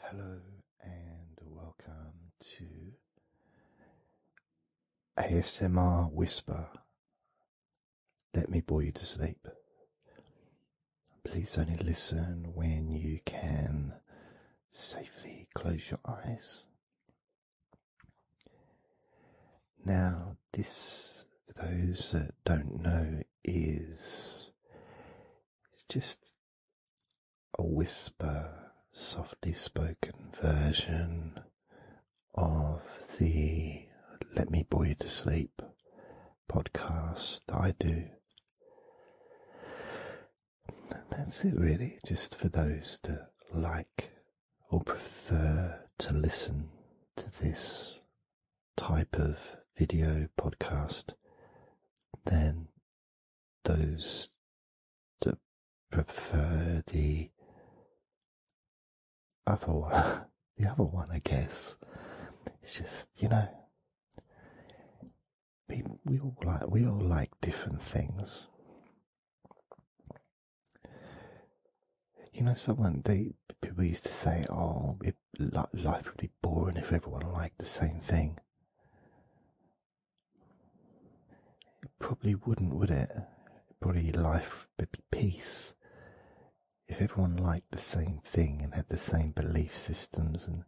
Hello and welcome to ASMR Whisper. Let me bore you to sleep. Please only listen when you can safely close your eyes. Now, this, for those that don't know, is it's just a whisper, softly spoken version of the Let Me Bore You to Sleep podcast that I do. that's it, really, just for those to like or prefer to listen to this type of video podcast then those that prefer the other one. the other one, I guess. It's just, you know, people, we all like, we all like different things. You know, someone, they, people used to say, oh, life would be boring if everyone liked the same thing. It probably wouldn't, would it? Probably life would be peace. If everyone liked the same thing and had the same belief systems, and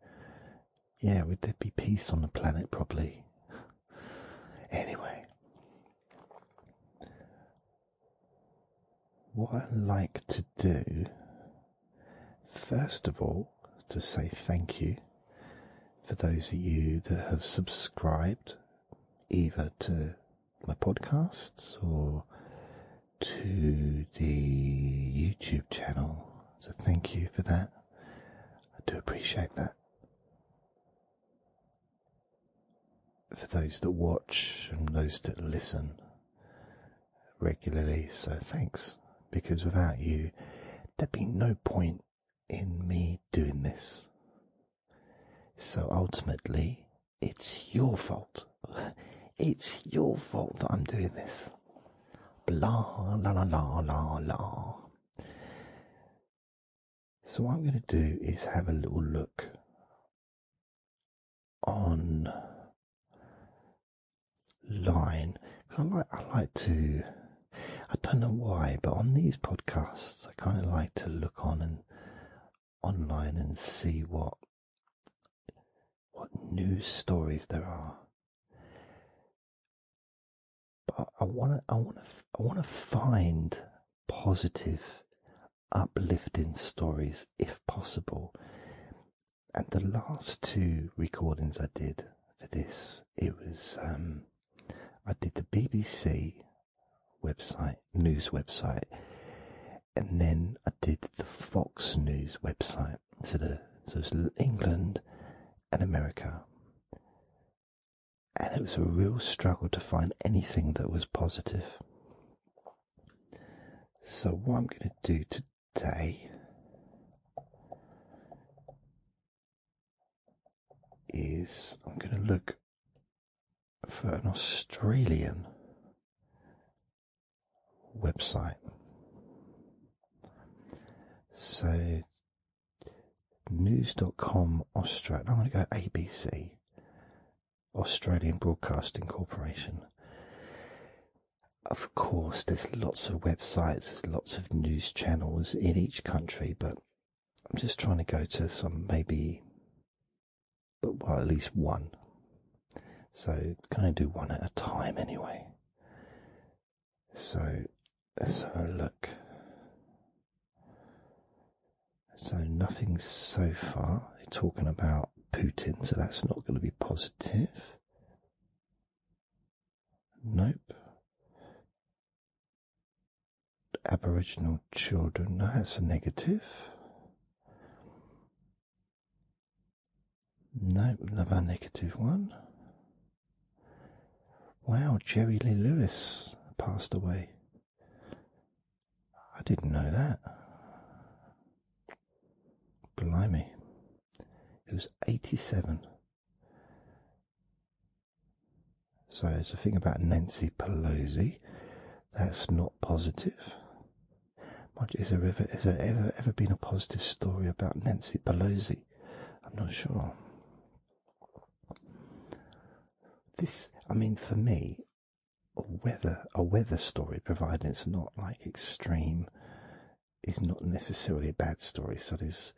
yeah, would there be peace on the planet? Probably. anyway, what I like to do, first of all, to say thank you for those of you that have subscribed either to my podcasts or to the YouTube channel. So thank you for that. I do appreciate that. For those that watch and those that listen, regularly, so thanks, because without you, there'd be no point in me doing this. So ultimately, it's your fault. It's your fault that I'm doing this. Blah, la, la, la, la, la. So, what I'm going to do is have a little look on line because I like I like to I don't know why but on these podcasts I kind of like to look on and online and see what what news stories there are but I want to I want to I want to find positive uplifting stories if possible and the last two recordings I did for this, it was um, I did the BBC website news website, and then I did the Fox News website. So the so it's England and America, and it was a real struggle to find anything that was positive. So what I'm going to do to today is I'm going to look for an Australian website. So news.com Australia. I'm going to go ABC, Australian Broadcasting Corporation of course, there's lots of websites, there's lots of news channels in each country, but I'm just trying to go to some maybe, but well, at least one. So, can I do one at a time anyway? So, so look. So nothing so far. talking about Putin, so that's not going to be positive. Nope. Aboriginal children, no, that's a negative. Nope, another negative one. Wow, Jerry Lee Lewis passed away. I didn't know that. Blimey. It was 87. So it's a thing about Nancy Pelosi. That's not positive. Much Is there ever, has there ever, ever been a positive story about Nancy Pelosi? I'm not sure. This, I mean, for me, a weather, a weather story, provided it's not like extreme is not necessarily a bad story. So it's,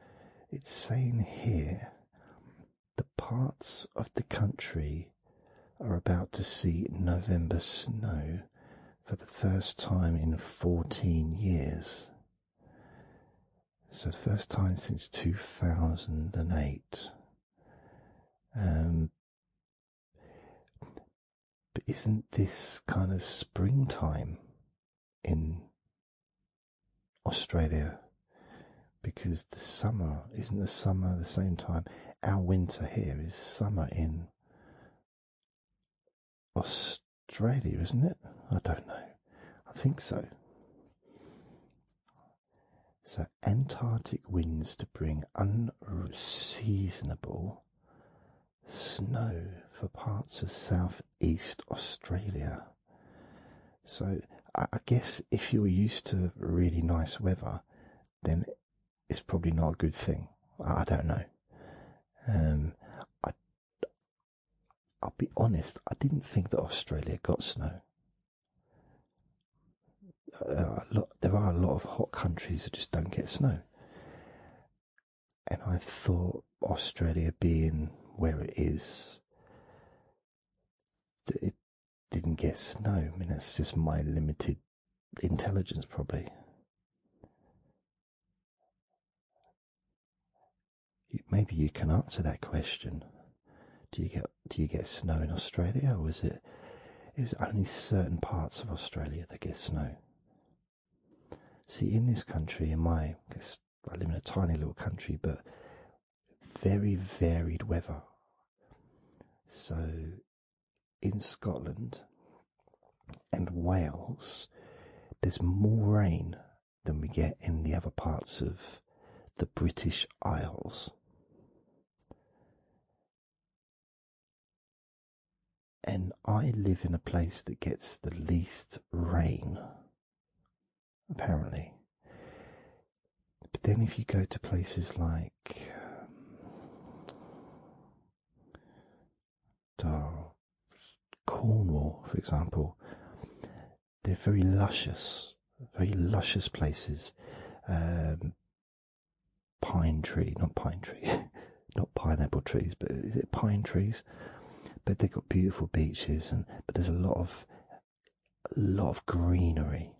it's saying here the parts of the country are about to see November snow for the first time in 14 years. So the first time since 2008. Um, but isn't this kind of springtime in Australia? Because the summer isn't the summer the same time. Our winter here is summer in Australia, isn't it? I don't know. I think so. So, Antarctic winds to bring unseasonable snow for parts of southeast Australia. So I, guess if you're used to really nice weather, then it's probably not a good thing. I, don't know. Um, I, will be honest, I didn't think that Australia got snow. Uh, there are a lot of hot countries that just don't get snow. And I thought Australia being where it is, that it didn't get snow. I mean, that's just my limited intelligence, probably. Maybe you can answer that question. Do you get do you get snow in Australia, or is it is it only certain parts of Australia that get snow? See, in this country, in my, I I live in a tiny little country, but very varied weather. So, in Scotland and Wales, there's more rain than we get in the other parts of the British Isles. And I live in a place that gets the least rain, apparently. But then, if you go to places like um, Cornwall, for example, they're very luscious, very luscious places. Um, pine tree, not pine tree, not pineapple trees, but is it pine trees? But they've got beautiful beaches, and but there's a lot of a lot of greenery,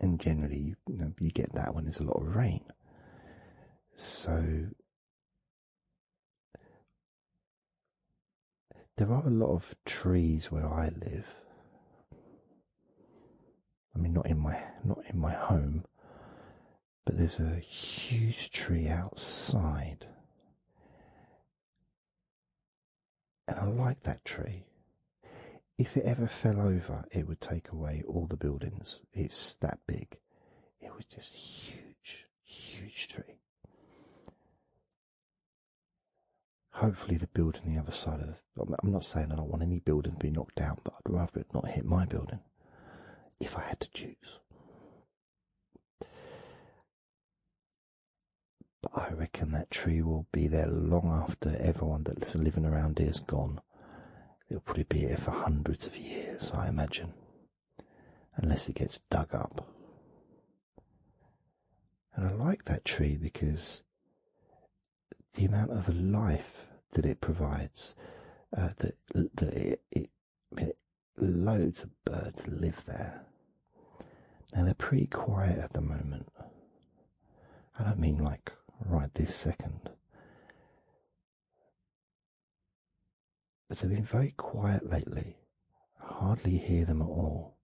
and generally you, get that when there's a lot of rain. So there are a lot of trees where I live. I mean, not in my not in my home, but there's a huge tree outside. And I like that tree. If it ever fell over, it would take away all the buildings. It's that big. It was just huge, huge tree. Hopefully, the building the other side of. The, I'm not saying I don't want any building to be knocked down, but I'd rather it not hit my building if I had to choose. But I reckon that tree will be there long after everyone that's living around here is gone. It'll probably be here for hundreds of years, I imagine, unless it gets dug up. And I like that tree because the amount of life that it provides, uh, loads of birds live there. Now they're pretty quiet at the moment. I don't mean like right this second. But they've been very quiet lately. I hardly hear them at all.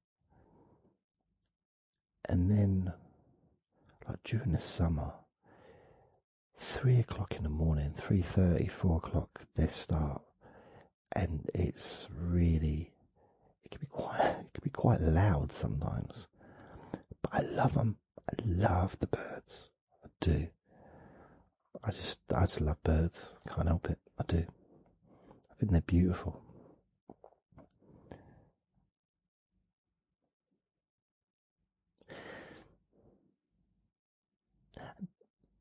And then, like during the summer, three o'clock in the morning, three thirty, four o'clock. They start, and it's really it can be quite it can be quite loud sometimes. But I love them. I love the birds. I do. I just I just love birds. can't help it. I do. I think they're beautiful.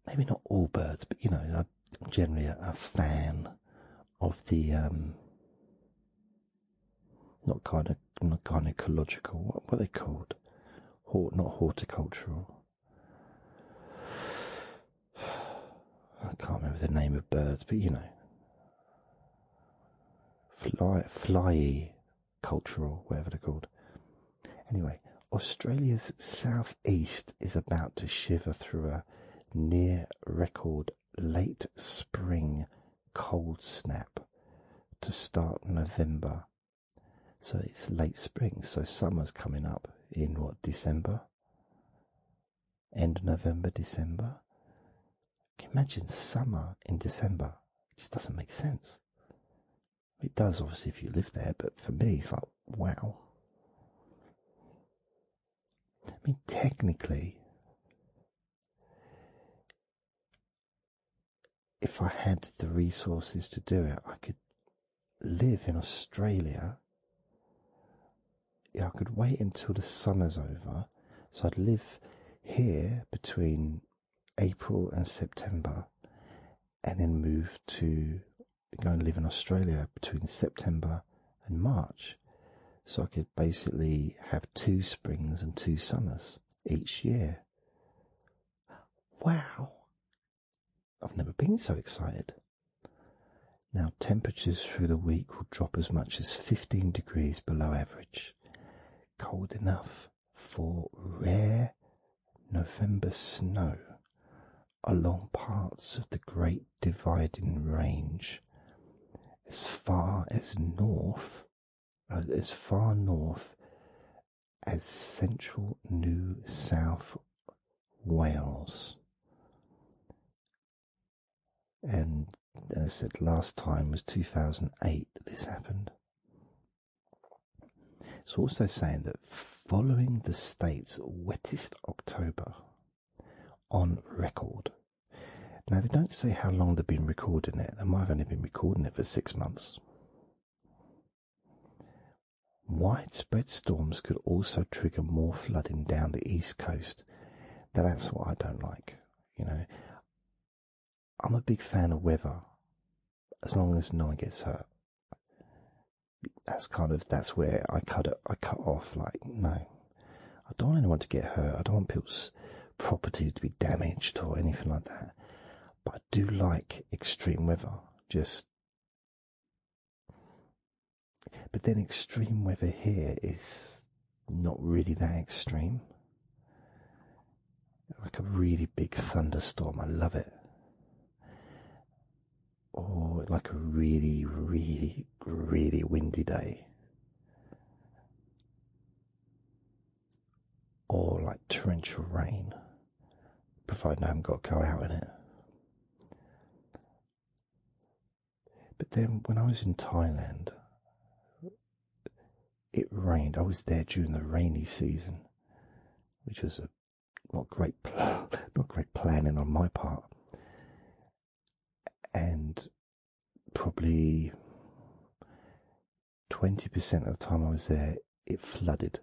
Maybe not all birds, but you know, I'm generally a, fan of the um, not kind of not gynecological. What, what they called? Hort, not horticultural. I can't remember the name of birds, but you know, fly, flyy cultural, whatever they're called. Anyway, Australia's southeast is about to shiver through a near record late spring cold snap to start November. So it's late spring, so summer's coming up in what, December? End November, December? Imagine summer in December. It just doesn't make sense. It does, obviously, if you live there, but for me, it's like, wow. I mean, technically, if I had the resources to do it, I could live in Australia. Yeah, I could wait until the summer's over. So I'd live here between April and September, and then move to go and live in Australia between September and March. So I could basically have two springs and two summers each year. Wow! I've never been so excited. Now, temperatures through the week will drop as much as 15 degrees below average. Cold enough for rare November snow along parts of the Great Dividing Range as far as north, uh, as far north as central New South Wales. And as I said last time was 2008 that this happened. It's also saying that following the state's wettest October on record. Now, they don't say how long they've been recording it. They might have only been recording it for six months. Widespread storms could also trigger more flooding down the east coast. Now, that's what I don't like. You know, I'm a big fan of weather, as long as no one gets hurt. That's kind of that's where I cut it. I cut off like no, I don't want anyone to get hurt. I don't want people's properties to be damaged or anything like that. But I do like extreme weather. Just, but then extreme weather here is not really that extreme like a really big thunderstorm. I love it. Or oh, like a really, really, really windy day. Or like torrential rain, providing I haven't got to go out in it. But then when I was in Thailand, it rained. I was there during the rainy season, which was a not great, not great planning on my part, and probably twenty percent of the time I was there, it flooded,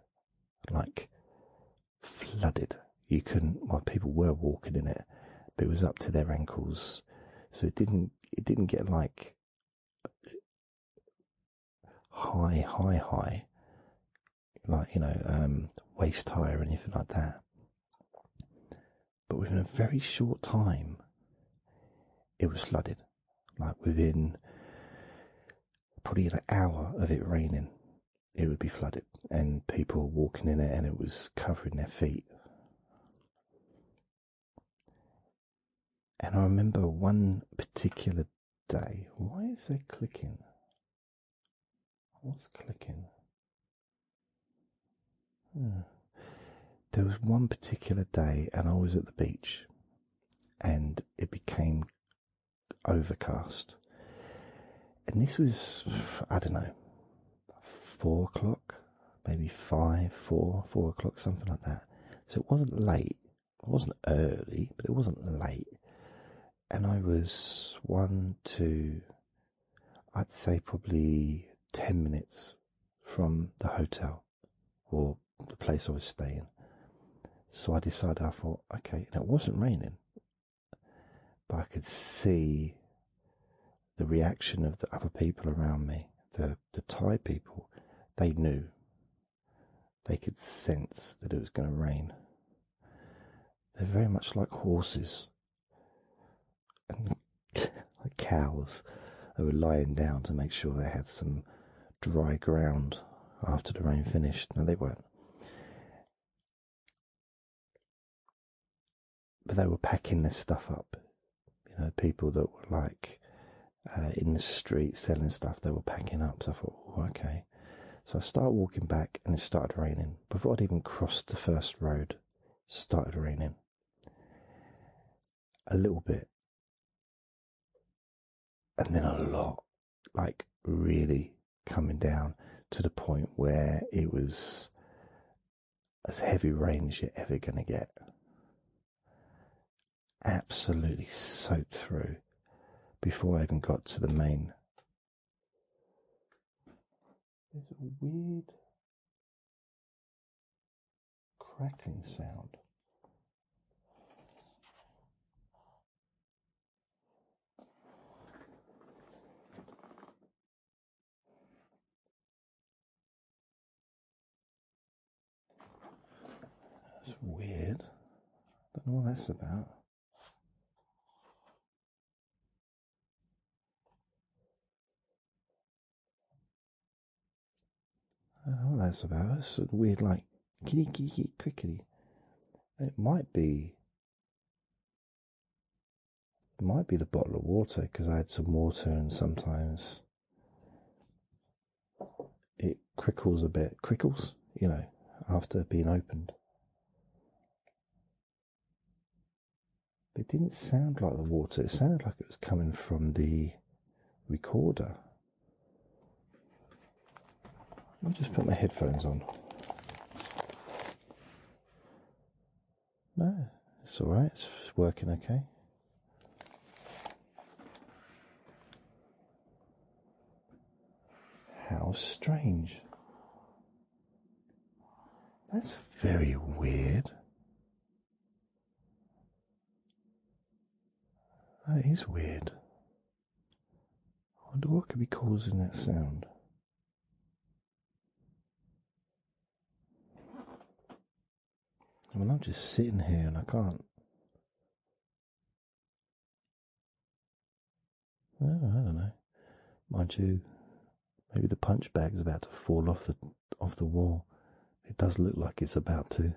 like flooded. You couldn't. Well, people were walking in it, but it was up to their ankles, so it didn't. It didn't get like high, high, high, like, you know, um, waist high or anything like that. But within a very short time, it was flooded. Like within probably an hour of it raining, it would be flooded, and people were walking in it, and it was covering their feet. And I remember one particular day. Why is there clicking? What's clicking? Hmm. There was one particular day, and I was at the beach, and it became overcast. And this was, I don't know, four o'clock, maybe five, four, four o'clock, something like that. So it wasn't late, it wasn't early, but it wasn't late. And I was one to, I'd say probably 10 minutes from the hotel or the place I was staying. So I decided, I thought, okay, it wasn't raining, but I could see the reaction of the other people around me, the Thai people, they knew they could sense that it was going to rain. They're very much like horses and like cows. They were lying down to make sure they had some dry ground after the rain finished. No, they weren't. But they were packing their stuff up you know, people that were like uh, in the street selling stuff. They were packing up. So I thought, oh, okay. So I started walking back and it started raining. Before I'd even crossed the first road, started raining. A little bit. And then a lot. Like really coming down to the point where it was as heavy rain as you're ever going to get absolutely soaked through before I even got to the main. There's a weird crackling sound. That's weird. Don't know what that's about. I don't know what that's about. It's sort of weird, like kitty kitty crickety. It might be. It might be the bottle of water because I had some water and sometimes it crickles a bit, crickles, you know, after being opened. It didn't sound like the water, it sounded like it was coming from the recorder. I'll just put my headphones on. No, it's alright, it's working okay. How strange. That's very weird. That is weird. I wonder what could be causing that sound. Well, I'm just sitting here and I can't. Well, I don't know. Mind you, maybe the punch bag's about to fall off the off the wall. It does look like it's about to.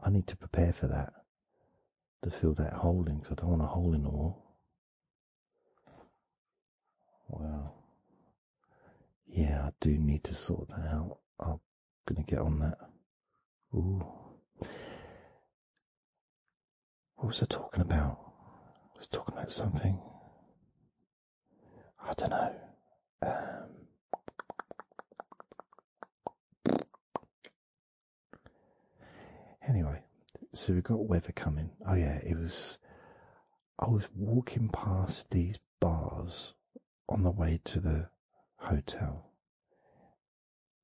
I need to prepare for that. To fill that hole in, because I don't want a hole in the wall. Wow. Yeah, I do need to sort that out. Gonna get on that. Ooh. What was I talking about? I was talking about something. I don't know. Um. anyway, so we've got weather coming. Oh yeah, it was. I was walking past these bars on the way to the hotel,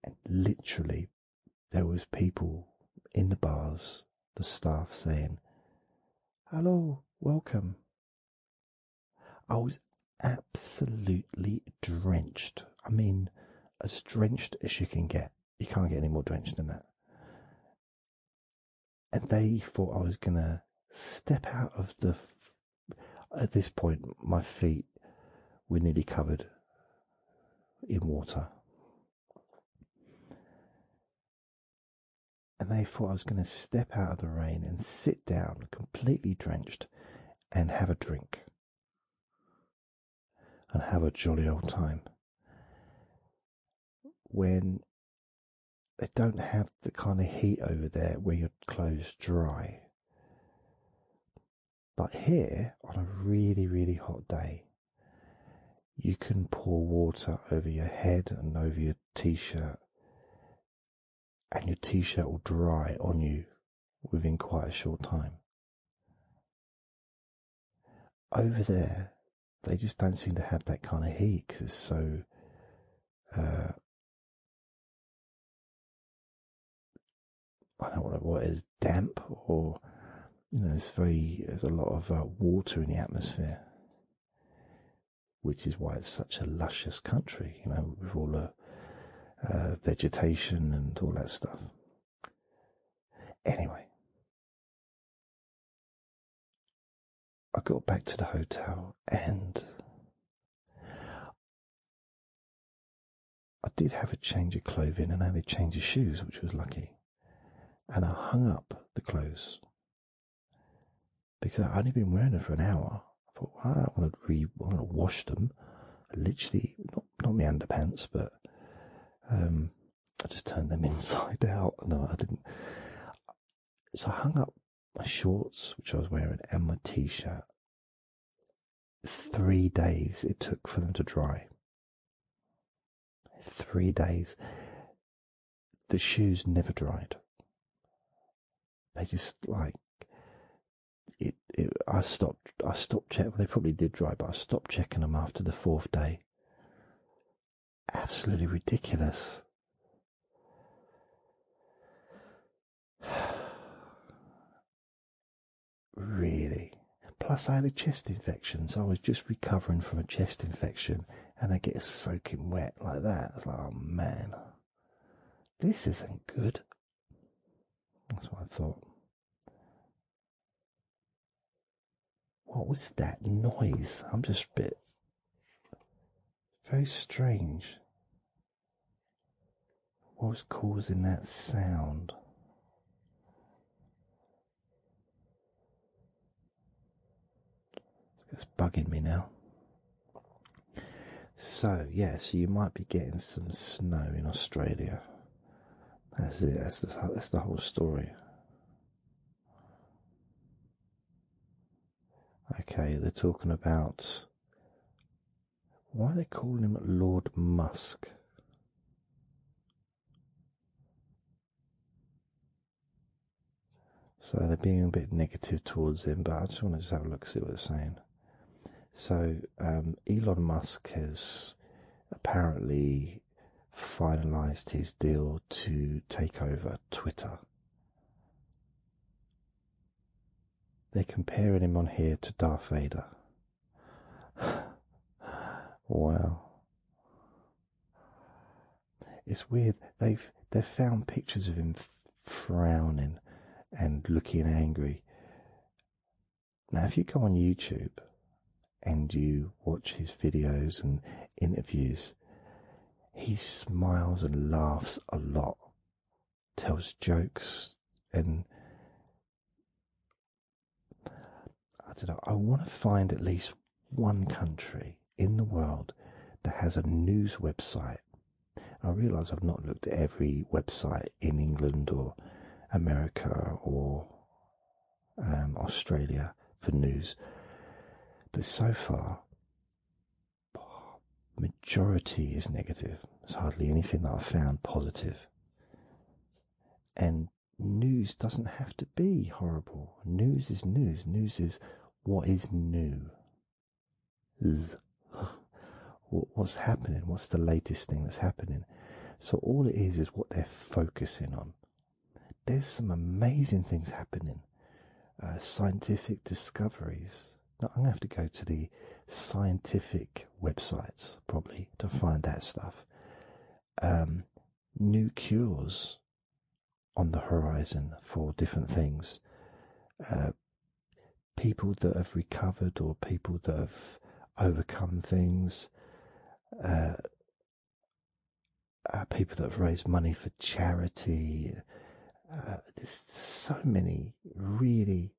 and literally there was people in the bars, the staff saying, "Hello, welcome." I was absolutely drenched. I mean, as drenched as you can get. You can't get any more drenched than that. And they thought I was gonna step out of the at this point, my feet were nearly covered in water. And they thought I was going to step out of the rain and sit down, completely drenched, and have a drink. And have a jolly old time. When they don't have the kind of heat over there where your clothes dry. But here, on a really, really hot day, you can pour water over your head and over your t shirt, and your t shirt will dry on you within quite a short time. Over there, they just don't seem to have that kind of heat because it's so uh, I don't know what it is, damp or, you know, it's very, there's a lot of uh, water in the atmosphere, which is why it's such a luscious country, you know, with all the uh, vegetation and all that stuff. Anyway, I got back to the hotel and I did have a change of clothing and only had a change of shoes, which was lucky. And I hung up the clothes because I'd only been wearing them for an hour. I thought, I don't want to wash them. literally, not, not my underpants, but, um, I just turned them inside out. No, I didn't. So I hung up my shorts, which I was wearing, and my t shirt. Three days it took for them to dry. Three days. The shoes never dried. They just like it, I stopped. I stopped checking. Well, they probably did dry, but I stopped checking them after the fourth day. Absolutely ridiculous. really. Plus, I had a chest infection, so I was just recovering from a chest infection, and I get soaking wet like that. I was like, oh man, this isn't good. That's what I thought. What was that noise? I'm just a bit very strange. What's causing that sound? It's bugging me now. So, yeah, so you might be getting some snow in Australia. that's the whole story. Okay, they're talking about why they call him Lord Musk? So they're being a bit negative towards him, but I just want to have a look, see what it's saying. So um, Elon Musk has apparently finalized his deal to take over Twitter. They're comparing him on here to Darth Vader. Well, It's weird. They've they've found pictures of him frowning and looking angry. Now, if you go on YouTube and you watch his videos and interviews, he smiles and laughs a lot tells jokes and I don't know, I want to find at least one country in the world that has a news website. I realise I've not looked at every website in England or America or um, Australia for news, but so far majority is negative. There's hardly anything that i found positive. And news doesn't have to be horrible. News is news. News is what is new. What's happening? What's the latest thing that's happening? So all it is is what they're focusing on. There's some amazing things happening. Uh, scientific discoveries, now, I'm going to have to go to the scientific websites probably to find that stuff. Um, new cures on the horizon for different things. Uh, people that have recovered or people that have overcome things. Uh, uh, people that have raised money for charity. there's so many really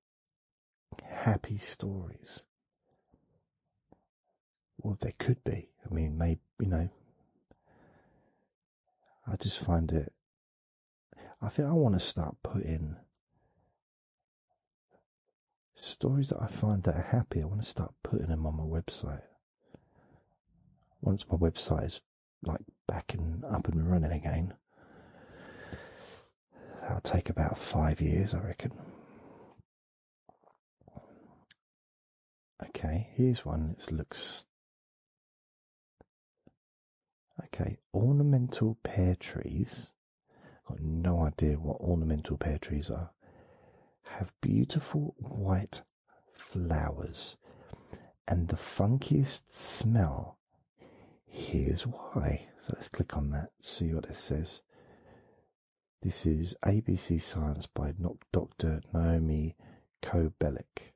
happy stories. Well, there could be. I mean, maybe, you know, I just find it. I think I want to start putting stories that I find that are happy. I want to start putting them on my website. Once my website is like back and up and running again. That'll take about five years, I reckon. Okay, here's one It looks. Okay, ornamental pear trees. Got no idea what ornamental pear trees are. Have beautiful white flowers and the funkiest smell Here's why. So let's click on that, see what it says. This is ABC Science by Dr. Naomi Kobelik.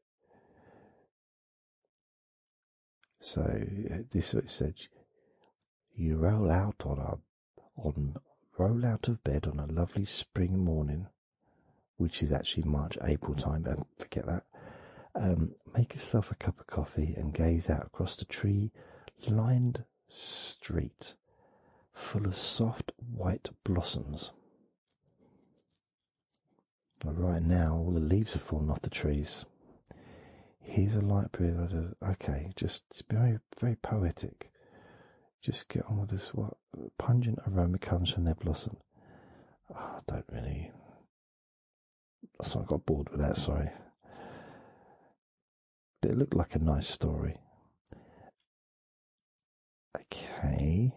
So uh, this it said you roll out on a on roll out of bed on a lovely spring morning, which is actually March April time forget that. Um, make yourself a cup of coffee and gaze out across the tree lined street full of soft white blossoms. right now, all the leaves have fallen off the trees. Here's a light breeze. Okay, just it's very, very poetic. Just get on with this. What pungent aroma comes from their blossom? Ah, I don't really so I got bored with that, sorry. But it looked like a nice story. Okay.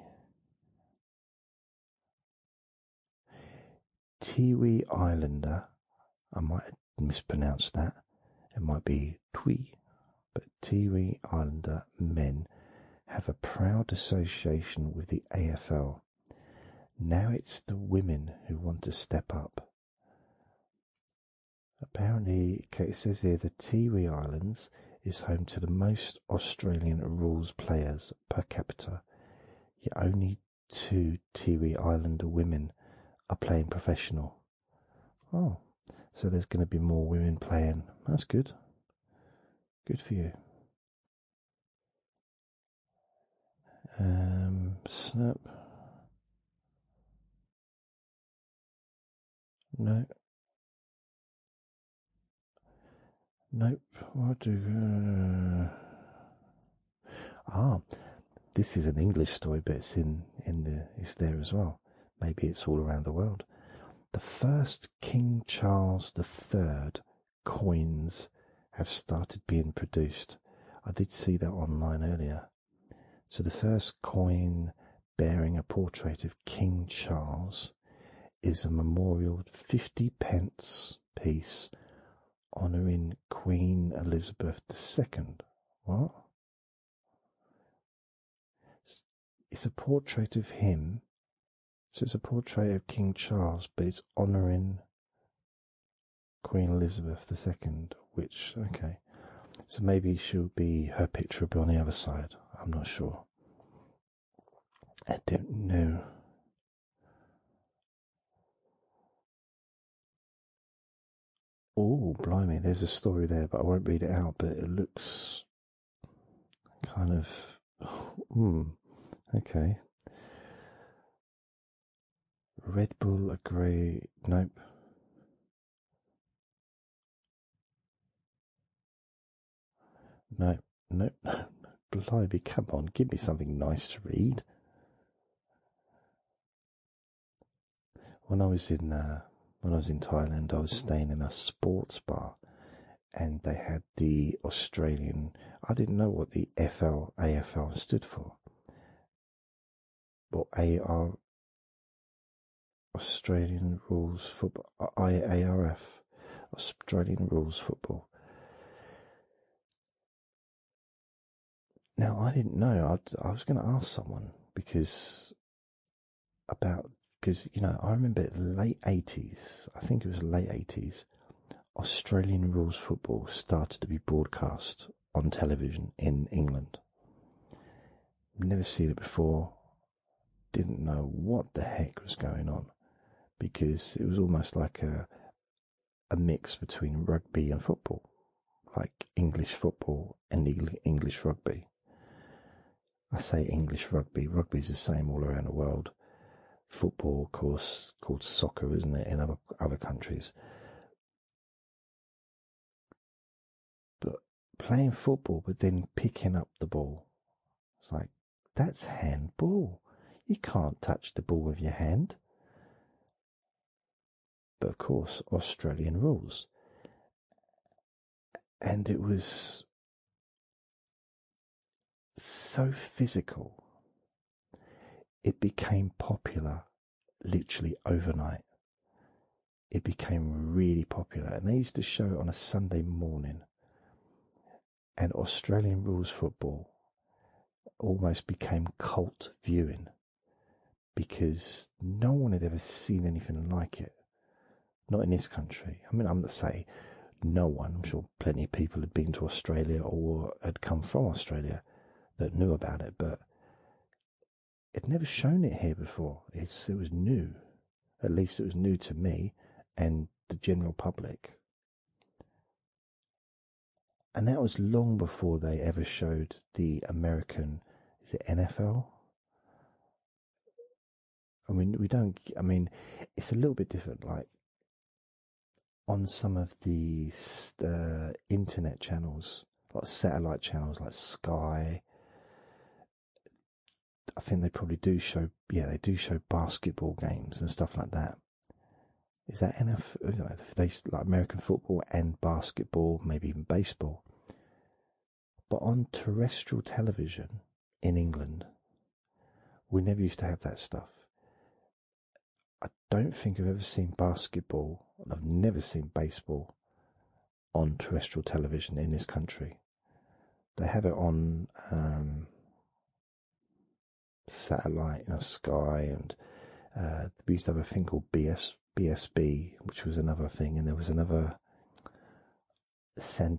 Tiwi Islander. I might mispronounced that. It might be Tui, but Tiwi Islander men have a proud association with the AFL. Now it's the women who want to step up. Apparently, it says here the Tiwi Islands is home to the most Australian rules players per capita, yet only two Tiwi Islander women are playing professional. Oh, so there's going to be more women playing. That's good. Good for you. Um, snap. No. Nope. What do? Uh, ah, this is an English story, but it's in in the it's there as well. Maybe it's all around the world. The first King Charles the Third coins have started being produced. I did see that online earlier. So the first coin bearing a portrait of King Charles is a memorial 50 pence piece honouring Queen Elizabeth II. What? It's a portrait of him so it's a portrait of King Charles, but it's honouring Queen Elizabeth II, which, okay, so maybe she'll be, her picture will be on the other side, I'm not sure. I don't know. Oh, blimey, there's a story there, but I won't read it out, but it looks kind of. Hmm, okay. Red Bull a grey. nope. No, no, no, blimey, come on, give me something nice to read. When I was in uh, when I was in Thailand, I was staying in a sports bar, and they had the Australian. I didn't know what the FL AFL stood for. but AR Australian Rules Football Australian Rules Football. Now I didn't know. I, I was going to ask someone because about because you know I remember late eighties. I think it was late eighties. Australian rules football started to be broadcast on television in England. Never seen it before. Didn't know what the heck was going on because it was almost like a a mix between rugby and football, like English football and English rugby. I say English rugby. Rugby is the same all around the world football, of course, called soccer, isn't it, in other, other countries. But playing football, but then picking up the ball. It's like, that's handball. You can't touch the ball with your hand. But of course, Australian rules. And it was so physical, it became popular literally overnight. It became really popular, and they used to show it on a Sunday morning. And Australian rules football almost became cult viewing because no one had ever seen anything like it. Not in this country. I mean, I'm gonna say, no one, I'm sure plenty of people had been to Australia or had come from Australia that knew about it, but it'd never shown it here before. It's, it was new. At least it was new to me and the general public. And that was long before they ever showed the American, is it NFL? I mean, we don't, I mean, it's a little bit different. Like, on some of the uh, internet channels, like satellite channels like Sky. I think they probably do show, yeah, they do show basketball games and stuff like that. Is that enough? they like American football and basketball, maybe even baseball. But on terrestrial television in England, we never used to have that stuff. I don't think I've ever seen basketball, and I've never seen baseball on terrestrial television in this country. They have it on um, satellite, in know, Sky, and uh, we used to have a thing called BSB, which was another thing, and there was another Centeno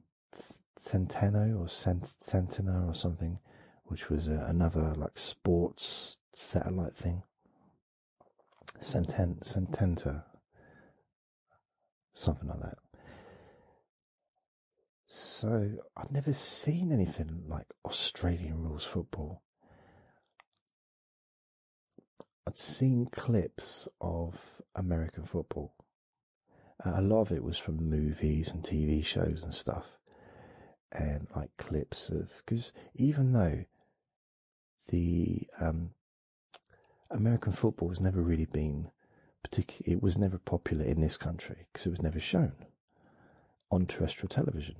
or Cent, or something, which was another like sports satellite thing. Centen Cententa, something like that. So i would never seen anything like Australian rules football. I'd seen clips of American football. a lot of it was from movies and TV shows and stuff and like clips of because even though the um, American football has never really been particular, it was never popular in this country because it was never shown on terrestrial television.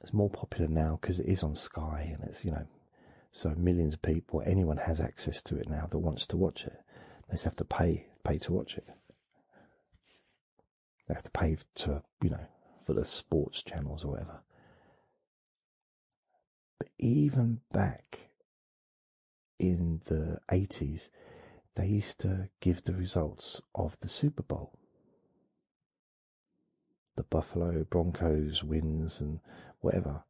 It's more popular now because it is on Sky and it's you know so millions of people anyone has access to it now that wants to watch it. They just have to pay pay to watch it. They have to pay to, you know, for the sports channels or whatever. But even back in the 80s, they used to give the results of the Super Bowl. The Buffalo Broncos wins and whatever,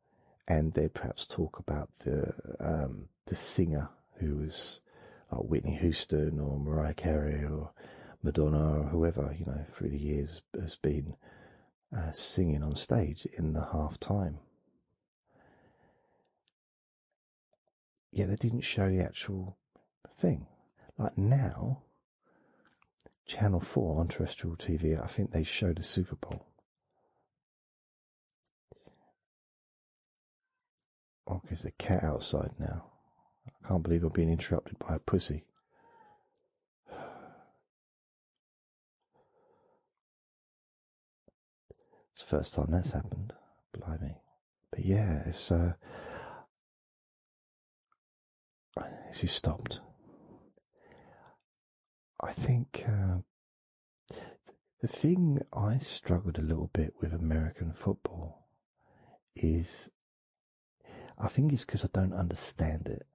and they'd perhaps talk about the um, the singer who was like Whitney Houston or Mariah Carey or Madonna or whoever, you know, through the years has been uh, singing on stage in the half time. Yet they didn't show the actual thing. Like now, Channel 4 on terrestrial TV, I think they showed the Super Bowl. Oh, there's a cat outside now. I can't believe I'm being interrupted by a pussy. It's the first time that's happened. Blimey. But yeah, it's uh she stopped. I think uh, the thing I struggled a little bit with American football is I think it's because I don't understand it.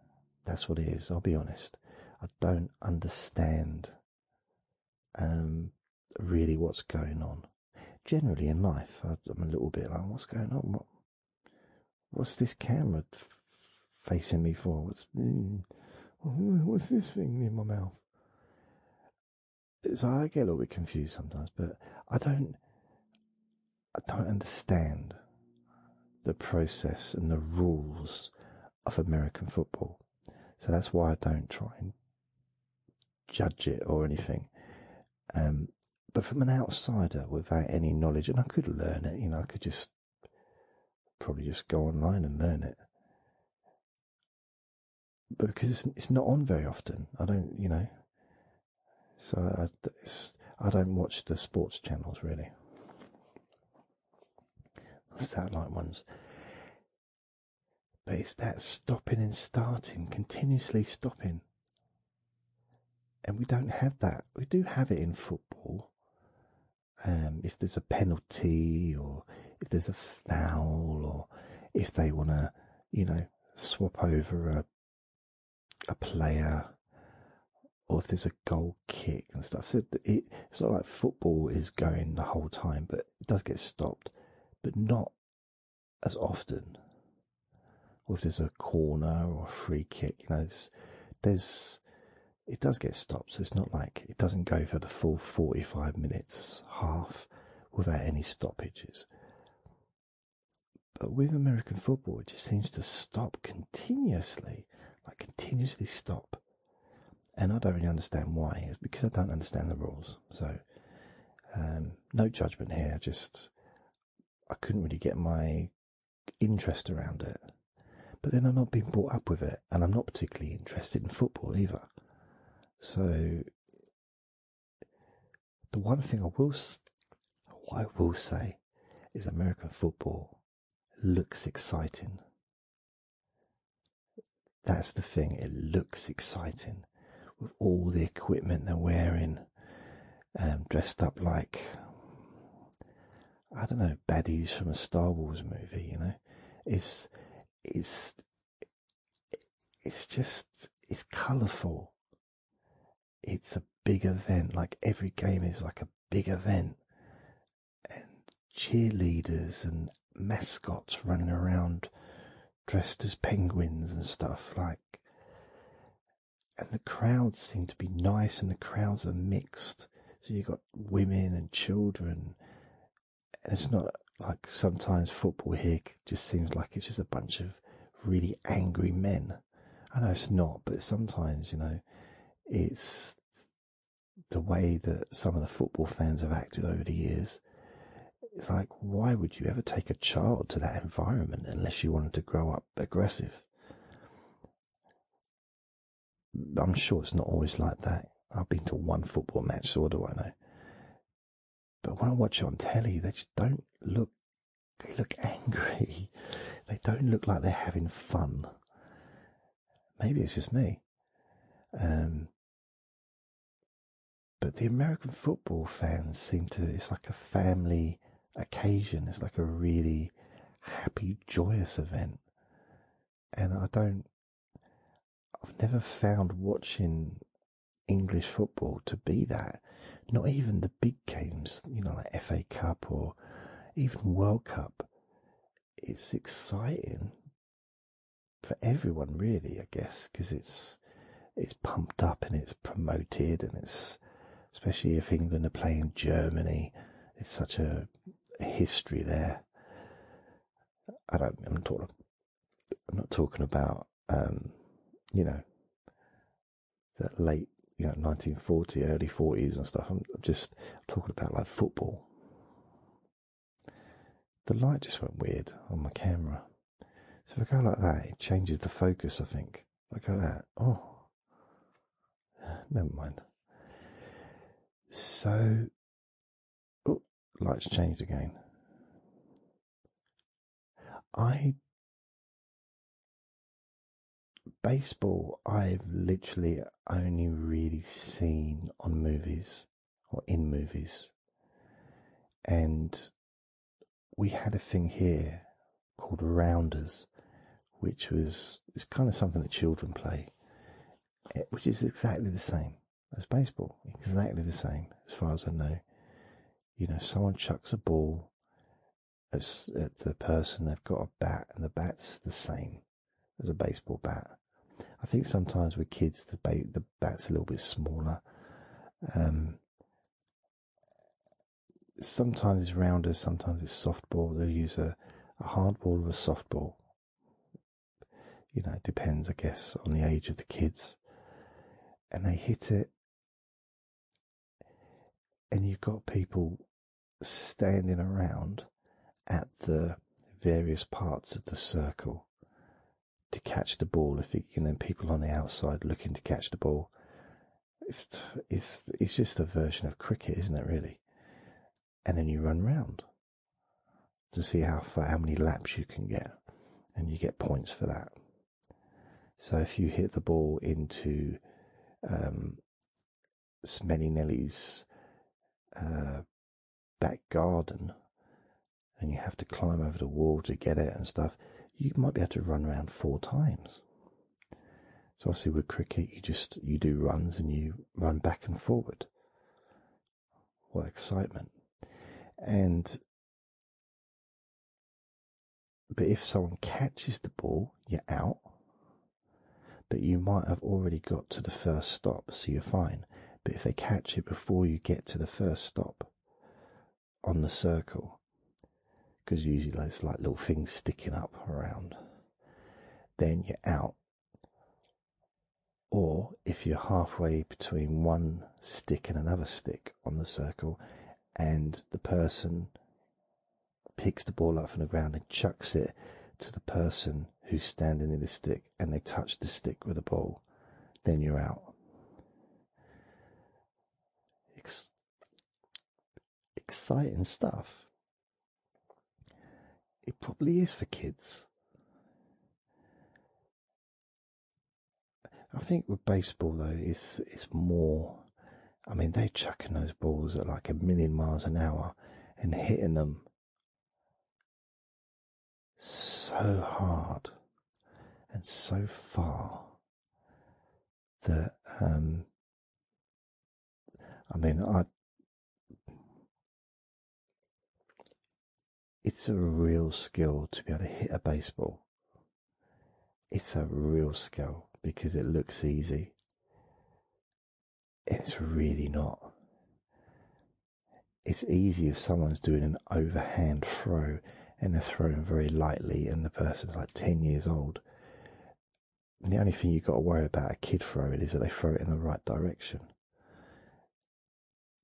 That's what it is. I'll be honest. I don't understand um, really what's going on. Generally in life, I, am a little bit like, what's going on? What, what's this camera facing me for? What's, mm, what's this thing near my mouth? so I get a little bit confused sometimes, but I don't, I don't understand the process and the rules of American football. So that's why I don't try and judge it or anything. Um, but from an outsider without any knowledge, and I could learn it, you know, I could just probably just go online and learn it. But because it's, not on very often. I don't, you know, so I, don't watch the sports channels really. The satellite ones. But it's that stopping and starting, continuously stopping. And we don't have that. We do have it in football. Um, if there's a penalty or if there's a foul or if they want to, you know, swap over a a player or if there's a goal kick and stuff. So it's not like football is going the whole time, but it does get stopped, but not as often. Or if there's a corner or a free kick, you know, there's it does get stopped. So it's not like it doesn't go for the full 45 minutes, half without any stoppages. But with American football, it just seems to stop continuously, like continuously stop. And I don't really understand why. It's because I don't understand the rules. So, um, no judgment here. Just, I couldn't really get my interest around it. But then I'm not being brought up with it, and I'm not particularly interested in football either. So, the one thing I will, I will say, is American football looks exciting. That's the thing; it looks exciting with all the equipment they're wearing, um, dressed up like I don't know baddies from a Star Wars movie. You know, it's it's it's just it's colourful. It's a big event. Like every game is like a big event, and cheerleaders and mascots running around dressed as penguins and stuff like. And the crowds seem to be nice, and the crowds are mixed. So you've got women and children. And it's not like sometimes football here just seems like it's just a bunch of really angry men. I know it's not, but sometimes, you know, it's the way that some of the football fans have acted over the years. It's like, why would you ever take a child to that environment unless you wanted to grow up aggressive? I'm sure it's not always like that. I've been to one football match, so what do I know? But when I watch it on telly, they just don't look. They look angry. They don't look like they're having fun. Maybe it's just me. Um, but the American football fans seem to, it's like a family occasion. It's like a really happy, joyous event. And I don't, I've never found watching English football to be that. Not even the big games, you know, like FA Cup or even World Cup. It's exciting for everyone, really, I guess, because it's, it's pumped up and it's promoted and it's, especially if England are playing Germany, it's such a history there. I don't, I'm I'm not talking about um, you know, the late, you know, 1940, early 40s and stuff. I'm just talking about like football. The light just went weird on my camera. So if I go like that, it changes the focus, I think. If I like that. Oh, never mind. So, lights changed again. I baseball I've literally only really seen on movies or in movies. And we had a thing here called rounders, which was it's kind of something that children play, eh, which is exactly the same as baseball, exactly the same as far as I know. You know, someone chucks a ball at, the person, they've got a bat, and the bat's the same as a baseball bat. I think sometimes with kids, the, bat's a little bit smaller. Um, sometimes it's rounder, sometimes it's softball. They'll use a, hard ball or a softball. You know, it depends, I guess, on the age of the kids and they hit it, and you've got people standing around at the various parts of the circle to catch the ball. If it, and then people on the outside looking to catch the ball, it's it's it's just a version of cricket, isn't it? Really, and then you run round to see how far, how many laps you can get, and you get points for that. So if you hit the ball into um, Smelly Nelly's uh, back garden and you have to climb over the wall to get it and stuff, you might be able to run around four times. So obviously with cricket, you just, you do runs and you run back and forward. What excitement. And but if someone catches the ball, you're out. But you might have already got to the first stop, so you're fine. But if they catch it before you get to the first stop on the circle, because usually there's like little things sticking up around, then you're out. Or if you're halfway between one stick and another stick, on the circle, and the person picks the ball up from the ground and chucks it to the person who's standing in the stick, and they touch the stick with the ball, then you're out. exciting stuff. It probably is for kids. I think with baseball though, it's it's more. I mean, they're chucking those balls at like a million miles an hour and hitting them so hard and so far that um, I mean, I it's a real skill to be able to hit a baseball. It's a real skill because it looks easy. It's really not. It's easy if someone's doing an overhand throw and they're throwing very lightly and the person's like 10 years old. the only thing you've got to worry about a kid throwing is that they throw it in the right direction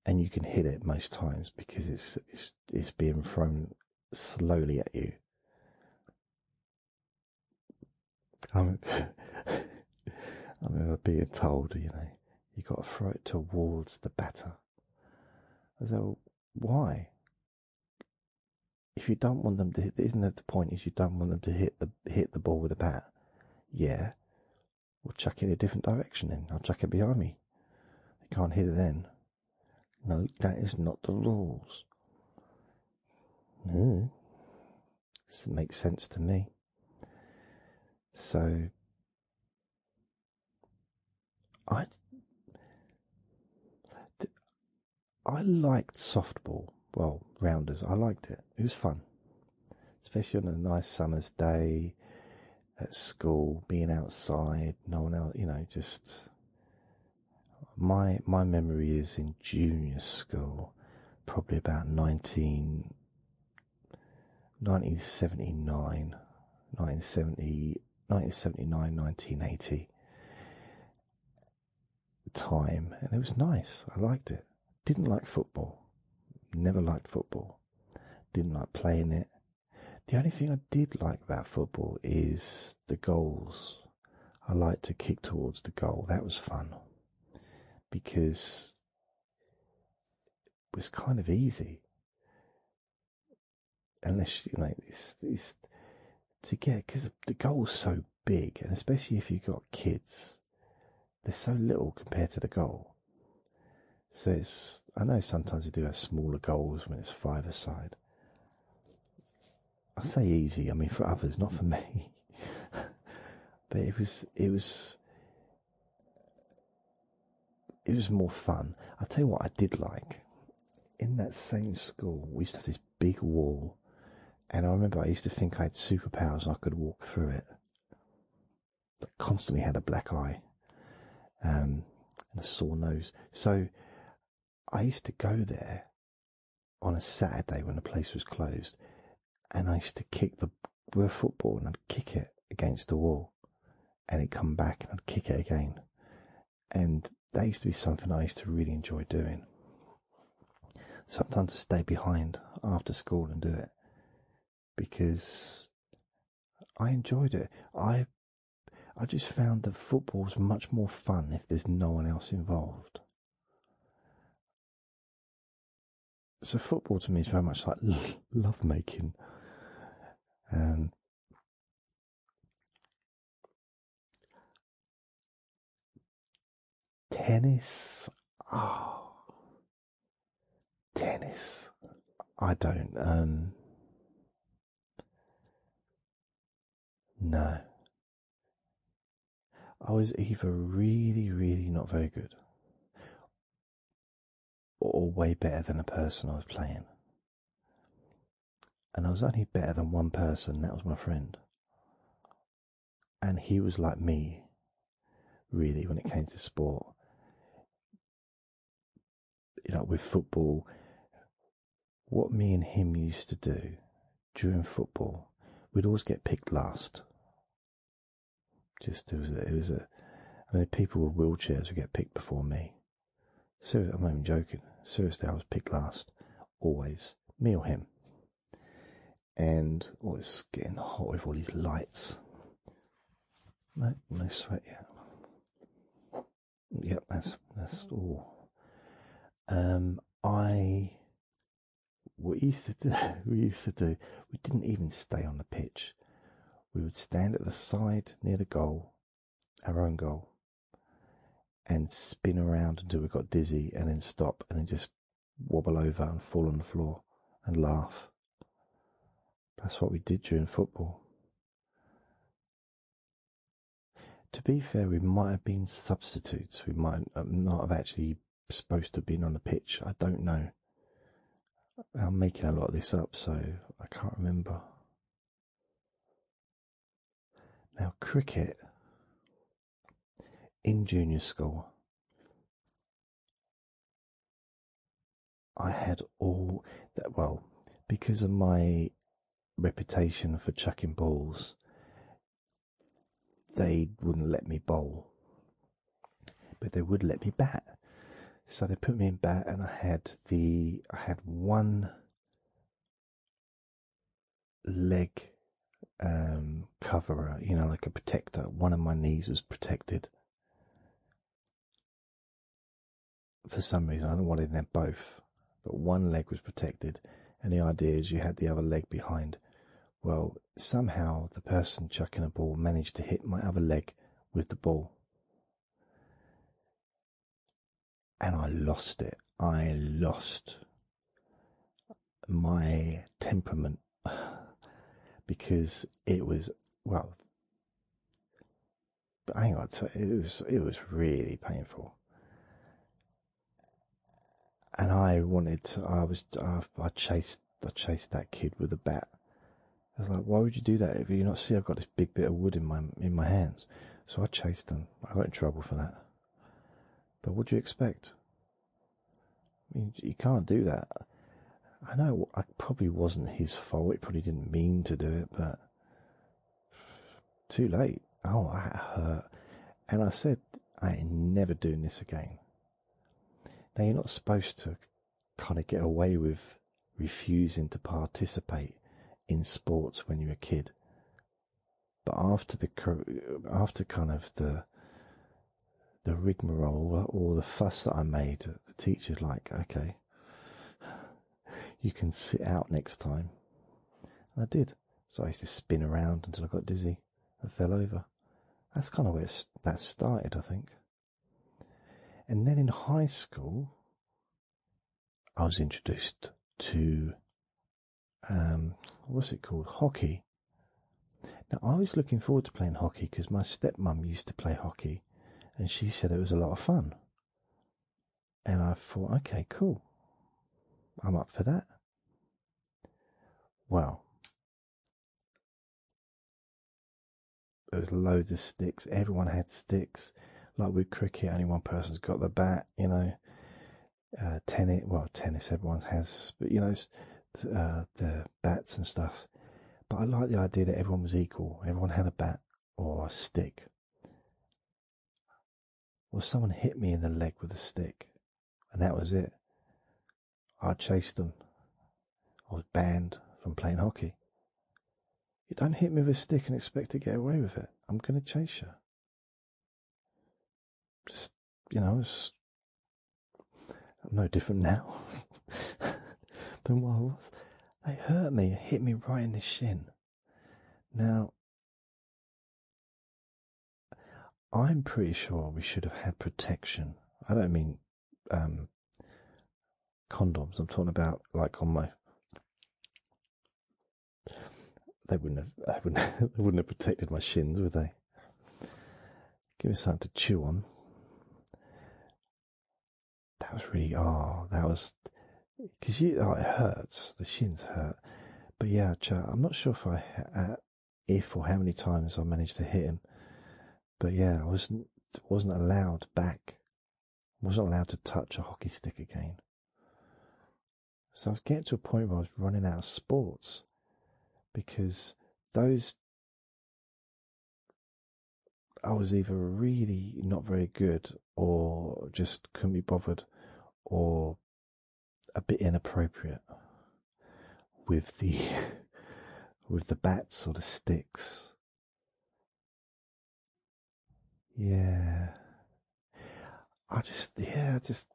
and you can hit it most times because it's it's it's being thrown slowly at you. I remember, being told, you know, you got to throw it towards the batter. I said, why? If you don't want them to isn't that the point? Is you don't want them to hit the hit the ball with a bat? Yeah, we'll chuck it in a different direction. Then I'll chuck it behind me. They can't hit it then. No, that is not the rules. No. This makes sense to me. So I I liked softball. Well, rounders. I liked it. It was fun, especially on a nice summer's day at school, being outside, no one else, you know, just my my memory is in junior school, probably about 19, 1979, 1979, 1980 time, and it was nice. I liked it. Didn't like football. Never liked football. Didn't like playing it. The only thing I did like about football is the goals. I liked to kick towards the goal. That was fun because it was kind of easy. Unless, you like, it's, it's to get, because the goal's so big, and especially if you've got kids, they're so little compared to the goal. So it's I know sometimes you do have smaller goals when it's five aside. I say easy, I mean for others, not for me. but it was it was it was more fun. I'll tell you what I did like. In that same school, we used to have this big wall, and I remember I used to think I had superpowers and I could walk through it. I constantly had a black eye um, and a sore nose. So I used to go there on a Saturday when the place was closed, and I used to kick the with a football and I'd kick it against the wall, and it'd come back and I'd kick it again, and that used to be something I used to really enjoy doing. Sometimes I would stay behind after school and do it because I enjoyed it. I I just found that football was much more fun if there's no one else involved. So football to me is very much like love making. tennis, oh, tennis. I don't. Um, no. I was either really, really not very good or way better than the person I was playing. And I was only better than one person, that was my friend. And he was like me, really, when it came to sport you know, with football, what me and him used to do during football, we'd always get picked last. Just it was a, I mean, people with wheelchairs would get picked before me. Seriously, I'm not even joking. Seriously, I was picked last, always, me or him. And oh, it's getting hot with all these lights. No, no sweat yet. Yep, that's that's all. Um, I we used to do. We used to do. We didn't even stay on the pitch. We would stand at the side near the goal, our own goal, and spin around until we got dizzy, and then stop, and then just wobble over and fall on the floor and laugh. That's what we did during football. To be fair, we might have been substitutes. We might uh, not have actually supposed to have been on the pitch. I don't know. I'm making a lot of this up, so I can't remember. Now, cricket in junior school I had all that, well, because of my reputation for chucking balls, they wouldn't let me bowl, but they would let me bat. So they put me in bat, and I had the, I had one leg um coverer you know like a protector one of my knees was protected for some reason, I wanted them both, but one leg was protected, and the idea is you had the other leg behind. Well, somehow the person chucking a ball managed to hit my other leg with the ball. And I lost it. I lost my temperament because it was, well, but hang on, it was it was really painful, and I wanted to. I was I, chased I chased that kid with a bat. I was like, why would you do that? If you not see, I've got this big bit of wood in my in my hands. So I chased him. I got in trouble for that. But what do you expect? I mean, you can't do that. I know I probably wasn't his fault. He probably didn't mean to do it, but too late. Oh, I hurt. And I said, I ain't never doing this again. Now, you're not supposed to kind of get away with refusing to participate in sports when you're a kid. But after the, after kind of the, the rigmarole, all the fuss that I made, the teacher's like, okay, you. can sit out next time. I did. So I used to spin around until I got dizzy. I fell over. That's kind of where that started, I think. And then in high school, I was introduced to, um, what's it called? Hockey. Now, I was looking forward to playing hockey because my stepmom used to play hockey and she said it was a lot of fun. And I thought, okay, cool. I'm up for that. Well, there was loads of sticks. Everyone had sticks. Like with cricket, only one person's got the bat, you know. Uh, tennis, well, tennis everyone has, but you know, uh, the bats and stuff. But I like the idea that everyone was equal. Everyone had a bat or a stick. Or someone hit me in the leg with a stick, and that was it. I chased them. I was banned from playing hockey. You don't hit me with a stick and expect to get away with it. I'm going to chase you. Just, you know, I'm no different now than what I was. They hurt me, hit me right in the shin. Now, I'm pretty sure we should have had protection. I don't mean um, condoms, I'm talking about like on my. They wouldn't have, I wouldn't, they wouldn't have protected my shins, would they? Give me something to chew on. That was really, oh, that was, because you, oh, it hurts, the shins hurt. But yeah, I'm not sure if I, uh, if or how many times I managed to hit him. But yeah, I wasn't, wasn't allowed back. I wasn't allowed to touch a hockey stick again. So I was getting to a point where I was running out of sports because those I was either really not very good or just couldn't be bothered or a bit inappropriate with the with the bats or the sticks. Yeah. I just yeah, just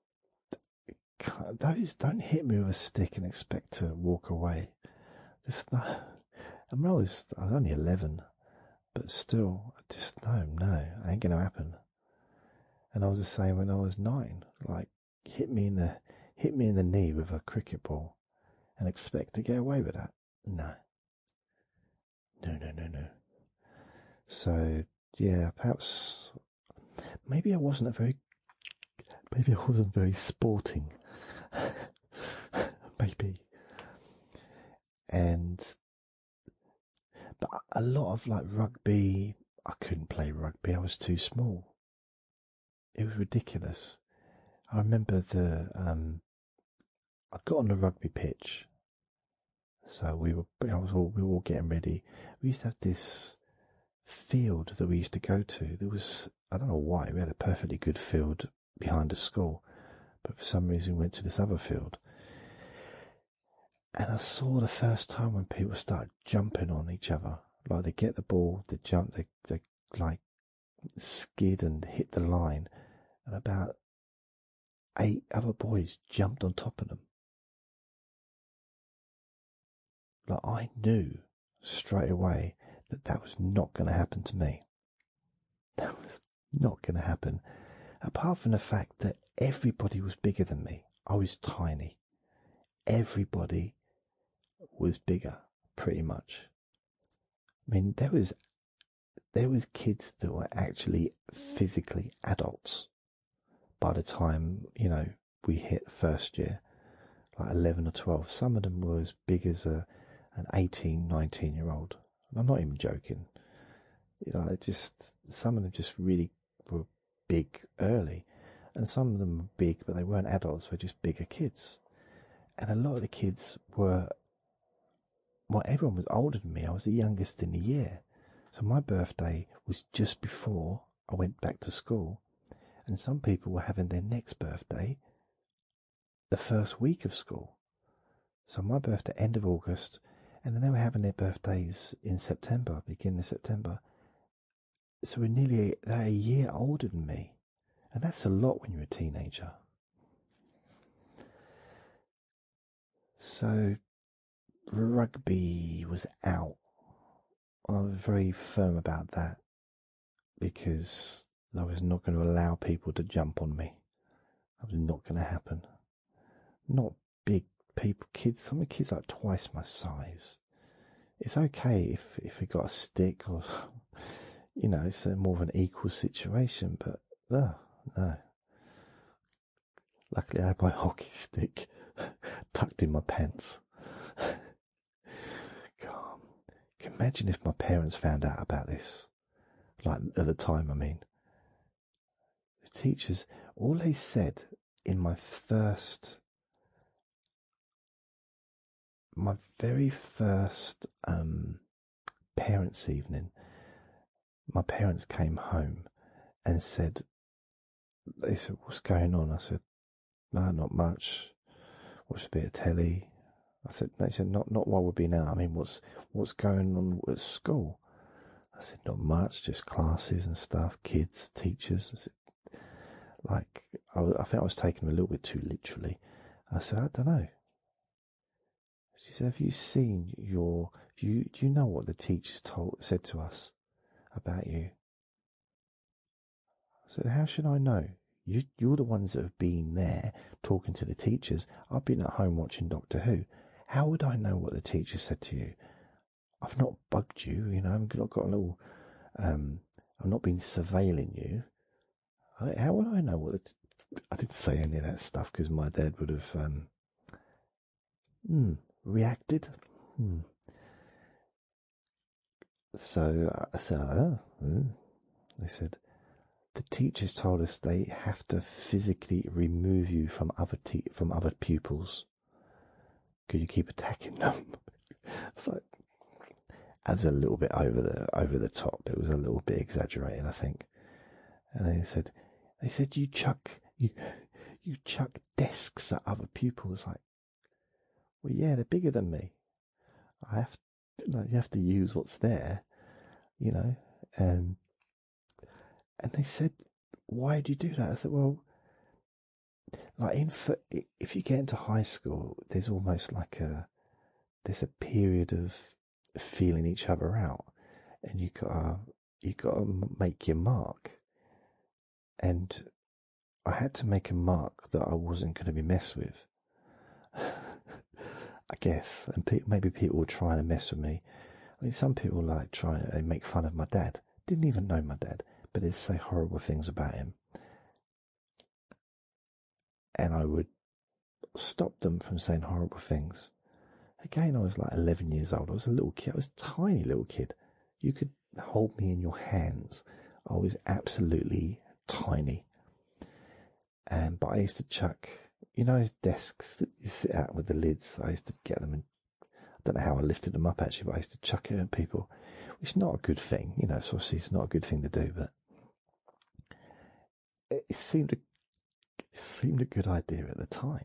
those don't hit me with a stick and expect to walk away. Just I am I I was only eleven, but still, I just no, no, ain't gonna happen. And I was the same when I was nine. Like hit me in the hit me in the knee with a cricket ball, and expect to get away with that. No. No, no, no, no. So yeah, perhaps maybe I wasn't a very maybe I wasn't very sporting. maybe and but a lot of like rugby, I couldn't play rugby. I was too small. It was ridiculous. I remember the um, I got on the rugby pitch. So we were, I was we were all getting ready. We used to have this field that we used to go to. There was, I don't know why, we had a perfectly good field behind a school, but for some reason went to this other field. And I saw the first time when people start jumping on each other, like they get the ball, they jump, they like skid and hit the line, and about eight other boys jumped on top of them. Like I knew straight away that that was not going to happen to me. That was not going to happen. Apart from the fact that everybody was bigger than me. I was tiny. Everybody was bigger, pretty much. I mean, there was, there was kids that were actually physically adults by the time, you know, we hit first year, like 11 or 12. Some of them was big as a an 18, 19 year old. I'm not even joking. You know, just, some of them just really were big early and some of them were big, but they weren't adults, they were just bigger kids. And a lot of the kids were, well, everyone was older than me. I was the youngest in the year. So my birthday was just before I went back to school and some people were having their next birthday the first week of school. So my birthday, end of August, and then they were having their birthdays in September, beginning of September. So we're nearly they're a year older than me, and that's a lot when you're a teenager. So rugby was out. I am very firm about that because I was not going to allow people to jump on me. That was not going to happen. Not big people, kids. Some of the kids are twice my size. It's okay if if we got a stick or, you know, it's more of an equal situation. But uh, no, Luckily, I had my hockey stick tucked in my pants. God, imagine if my parents found out about this like at the time, I mean. The teachers, all they said in my first, my very first um, parents' evening, my parents came home and said, they said, what's going on? I said, no, not much. Watched a bit of telly. I said, they said, not, not what would be now. I mean, what's, what's going on at school? I said, not much, just classes and stuff, kids, teachers. I said, like, I, think I was taking them a little bit too literally. I said, I don't know. She said, have you seen your, do you, do you know what the teachers told, said to us about you? I said, how should I know? You, you're the ones that have been there talking to the teachers. I've been at home watching Doctor Who. How would I know what the teachers said to you? I've not bugged you, you know, I've not got a little, um, I've not been surveilling you. How would I know what the, I didn't say any of that stuff because my dad would have, um, hmm, reacted. Hmm. So uh, I oh, hmm. they said, the teachers told us they have to physically remove you from other from other pupils. because you keep attacking them? So, that was a little bit over the over the top. It was a little bit exaggerated, I think. And they said, they said you chuck you you chuck desks at other pupils. Like, well, yeah, they're bigger than me. I have you have to use what's there, you know. Um, and they said, "Why do you do that?" I said, "Well, like in if you get into high school, there's almost like a there's a period of feeling each other out, and you gotta you gotta make your mark." And I had to make a mark that I wasn't going to be messed with. I guess, and maybe people were trying to mess with me. I mean, some people like trying and make fun of my dad. Didn't even know my dad, but they'd say horrible things about him. And I would stop them from saying horrible things. Again, I was like 11 years old. I was a little kid. I was tiny little kid. You could hold me in your hands. I was absolutely tiny. Um, but I used to chuck, you know, those desks that you sit at with the lids. I used to get them and I don't know how I lifted them up actually, but I used to chuck it at people, which is not a good thing. You know, it's obviously it's not a good thing to do, but it seemed a good idea at the time.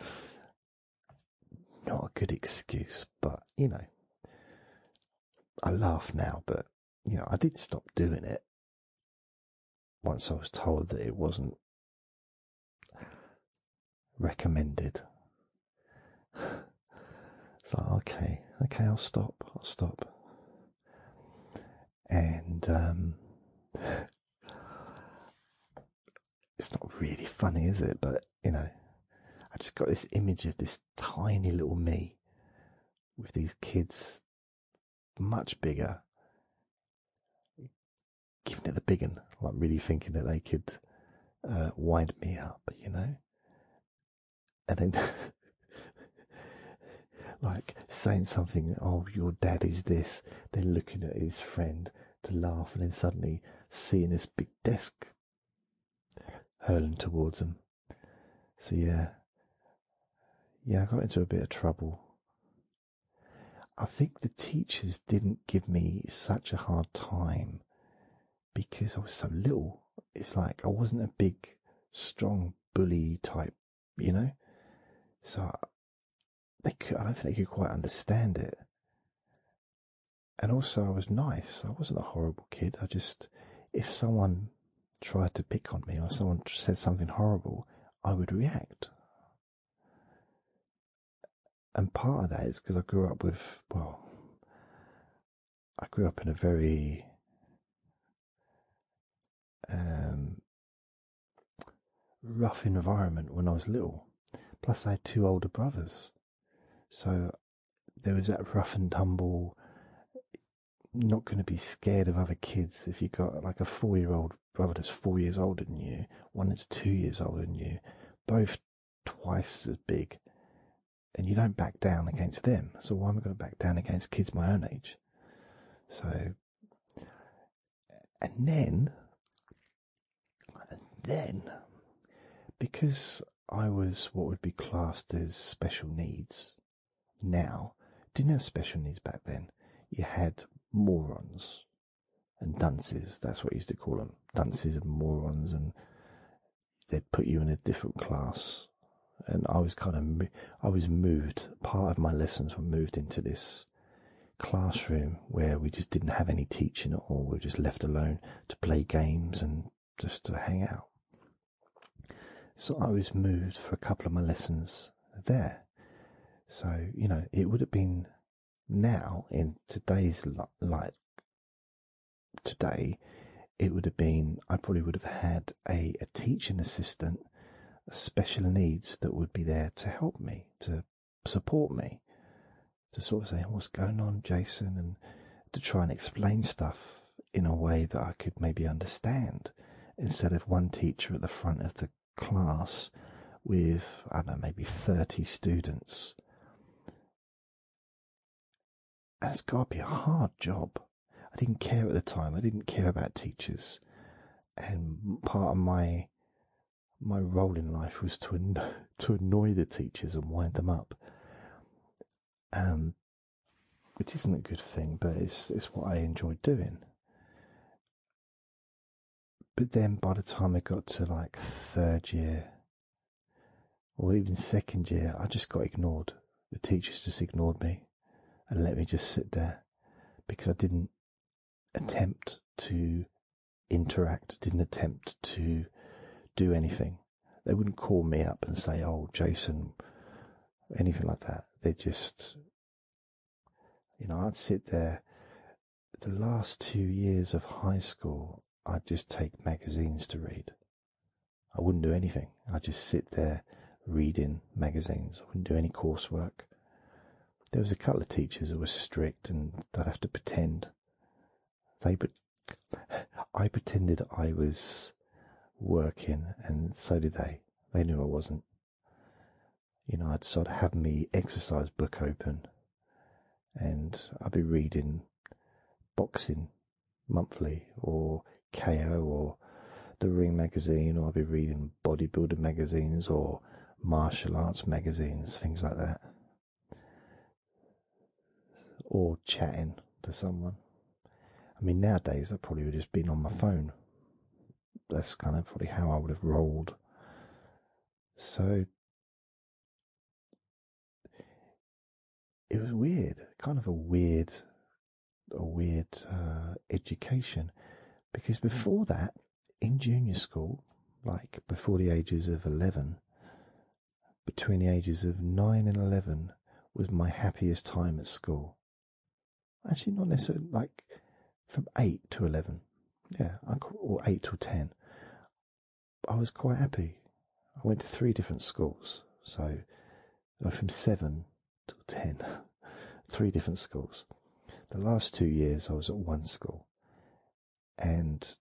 not a good excuse, but you know, I laugh now, but you know, I did stop doing it once I was told that it wasn't recommended. it's like, okay, okay, I'll stop, I'll stop. And um, it's not really funny, is it? But, you know, I just got this image of this tiny little me with these kids much bigger. Giving it the big one, like really thinking that they could uh, wind me up, you know? And then, like, saying something, oh, your dad is this, then looking at his friend to laugh, and then suddenly seeing this big desk hurling towards him. So yeah, yeah, I got into a bit of trouble. I think the teachers didn't give me such a hard time because I was so little. It's like I wasn't a big, strong bully type, you know. So they I don't think they could quite understand it. And also, I was nice. I wasn't a horrible kid. I just, if someone tried to pick on me or someone said something horrible, I would react. And part of that is because I grew up with, well, I grew up in a very um, rough environment when I was little. Plus, I had two older brothers. So there was that rough and tumble, not going to be scared of other kids if you got like a four year old brother that's four years older than you, one that's two years older than you, both twice as big, and you don't back down against them. So why am I going to back down against kids my own age? So, and then, and then, because I was what would be classed as special needs, now, didn't have special needs back then. You had morons and dunces. That's what you used to call them. Dunces and morons and they'd put you in a different class. And I was kind of, I was moved. Part of my lessons were moved into this classroom where we just didn't have any teaching at all. We were just left alone to play games and just to hang out. So I was moved for a couple of my lessons there. So, you know, it would have been now in today's light, today, it would have been, I probably would have had a, a teaching assistant, special needs that would be there to help me, to support me, to sort of say, what's going on, Jason? And to try and explain stuff in a way that I could maybe understand instead of one teacher at the front of the class with, I don't know, maybe 30 students. And it's got to be a hard job. I didn't care at the time. I didn't care about teachers. And part of my my role in life was to to annoy the teachers and wind them up. Um, which isn't a good thing, but it's it's what I enjoyed doing. But then by the time I got to like third year or even second year, I just got ignored. The teachers just ignored me and let me just sit there because I didn't attempt to interact, didn't attempt to do anything. They wouldn't call me up and say, Oh, Jason, anything like that. They just you know, I'd sit there. The last two years of high school, I'd just take magazines to read. I wouldn't do anything. I'd just sit there reading magazines. I wouldn't do any coursework. There was a couple of teachers that were strict and I'd have to pretend. They, but I pretended I was working and so did they. They knew I wasn't you know, I'd sort of have my exercise book open and I'd be reading boxing monthly or KO or the ring magazine or I'd be reading bodybuilder magazines or martial arts magazines, things like that. Or chatting to someone. I mean, nowadays I probably would have just been on my phone. That's kind of probably how I would have rolled. So it was weird, kind of a weird, a weird uh, education, because before that, in junior school, like before the ages of eleven, between the ages of nine and eleven was my happiest time at school. Actually, not necessarily like from eight to eleven. Yeah, or eight to ten. I was quite happy. I went to three different schools, so from seven to ten, three different schools. The last two years, I was at one school, and